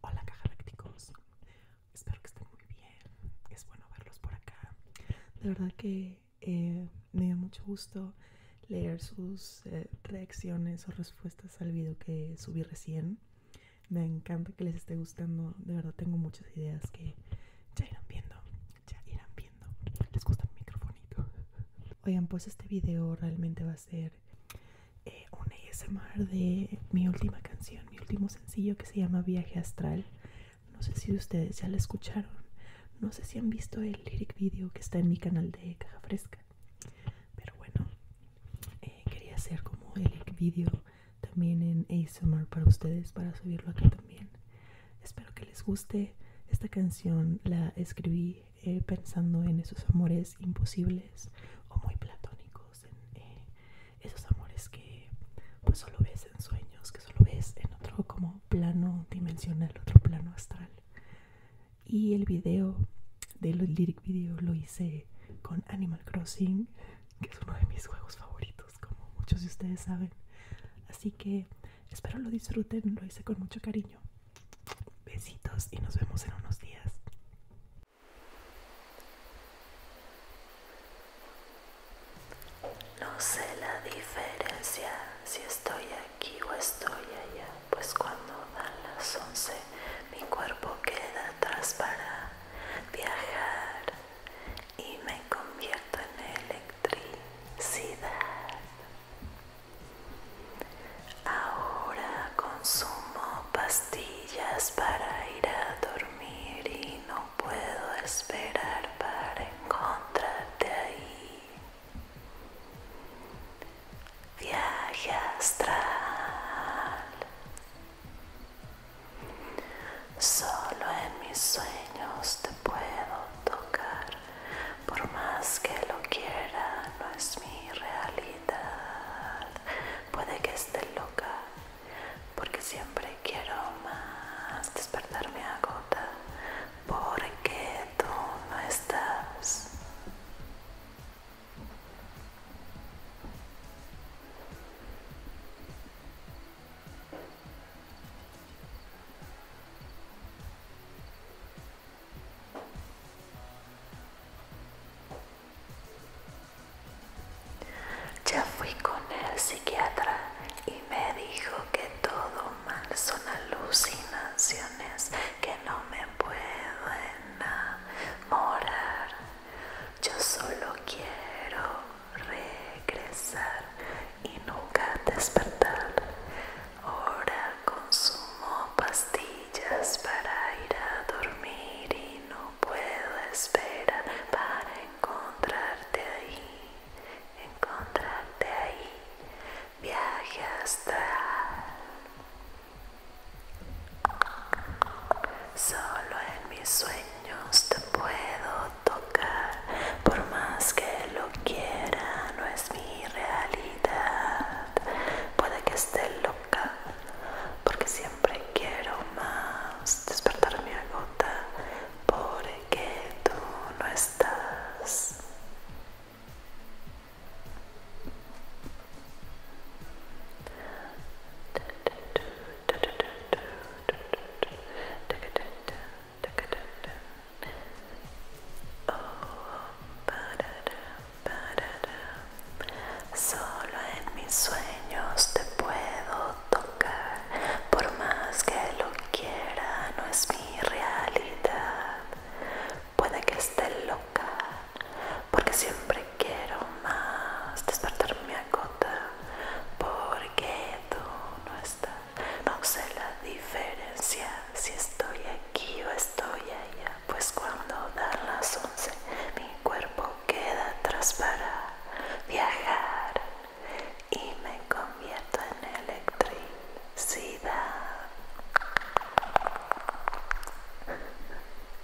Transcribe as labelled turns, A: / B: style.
A: Hola lácticos. espero que estén muy bien, es bueno verlos por acá. De verdad que eh, me da mucho gusto leer sus eh, reacciones o respuestas al video que subí recién. Me encanta que les esté gustando, de verdad tengo muchas ideas que ya irán viendo, ya irán viendo. ¿Les gusta mi micrófono? Oigan, pues este video realmente va a ser eh, un ASMR de mi última canción, mi último sencillo que se llama Viaje Astral. No sé si ustedes ya la escucharon. No sé si han visto el lyric video que está en mi canal de Caja Fresca. Pero bueno, eh, quería hacer como el lyric video también en ASMR para ustedes, para subirlo aquí también. Espero que les guste. Esta canción la escribí eh, pensando en esos amores imposibles o muy platónicos, en eh, esos amores que pues solo ves en sueños, que solo ves en otro como plano dimensional, otro plano astral. Y el video del lyric video lo hice con Animal Crossing, que es uno de mis juegos favoritos, como muchos de ustedes saben. Así que Espero lo disfruten, lo hice con mucho cariño. Besitos y nos vemos en unos días.
B: No sé la diferencia si estoy aquí o estoy allá, pues cuando dan las 11 mi cuerpo queda atrás para viajar y me convierto en electricidad. Ahora consumo pastillas para ir a dormir y no puedo esperar para encontrarte ahí. Viaje astral. Solo en mis sueños te puedo tocar, por más que lo quiera, no es mi realidad. Puede que esté loca, porque siempre quiero más despertarme a gota, porque tú no estás. Ya fui con el psiquiatra y me dijo que todo mal son alucinaciones, que no me puedo enamorar. Yo solo quiero regresar y nunca despertar. Ahora consumo pastillas para ir a dormir y no puedo esperar para encontrarte ahí, encontrarte ahí. Viaje hasta... Solo en mis sueños te puedo tocar, por más que lo quiera, no es mi realidad. Puede que esté loca, porque siempre quiero más. Despertar mi agota, porque tú no estás. Solo en mis sueños te puedo tocar, por más que lo quiera, no es mi realidad. Puede que esté loca, porque siempre quiero más despertarme gota, porque tú no estás no sé la diferencia si estoy aquí o estoy allá pues cuando dan las once, mi cuerpo queda atrás para viajar y me convierto en electricidad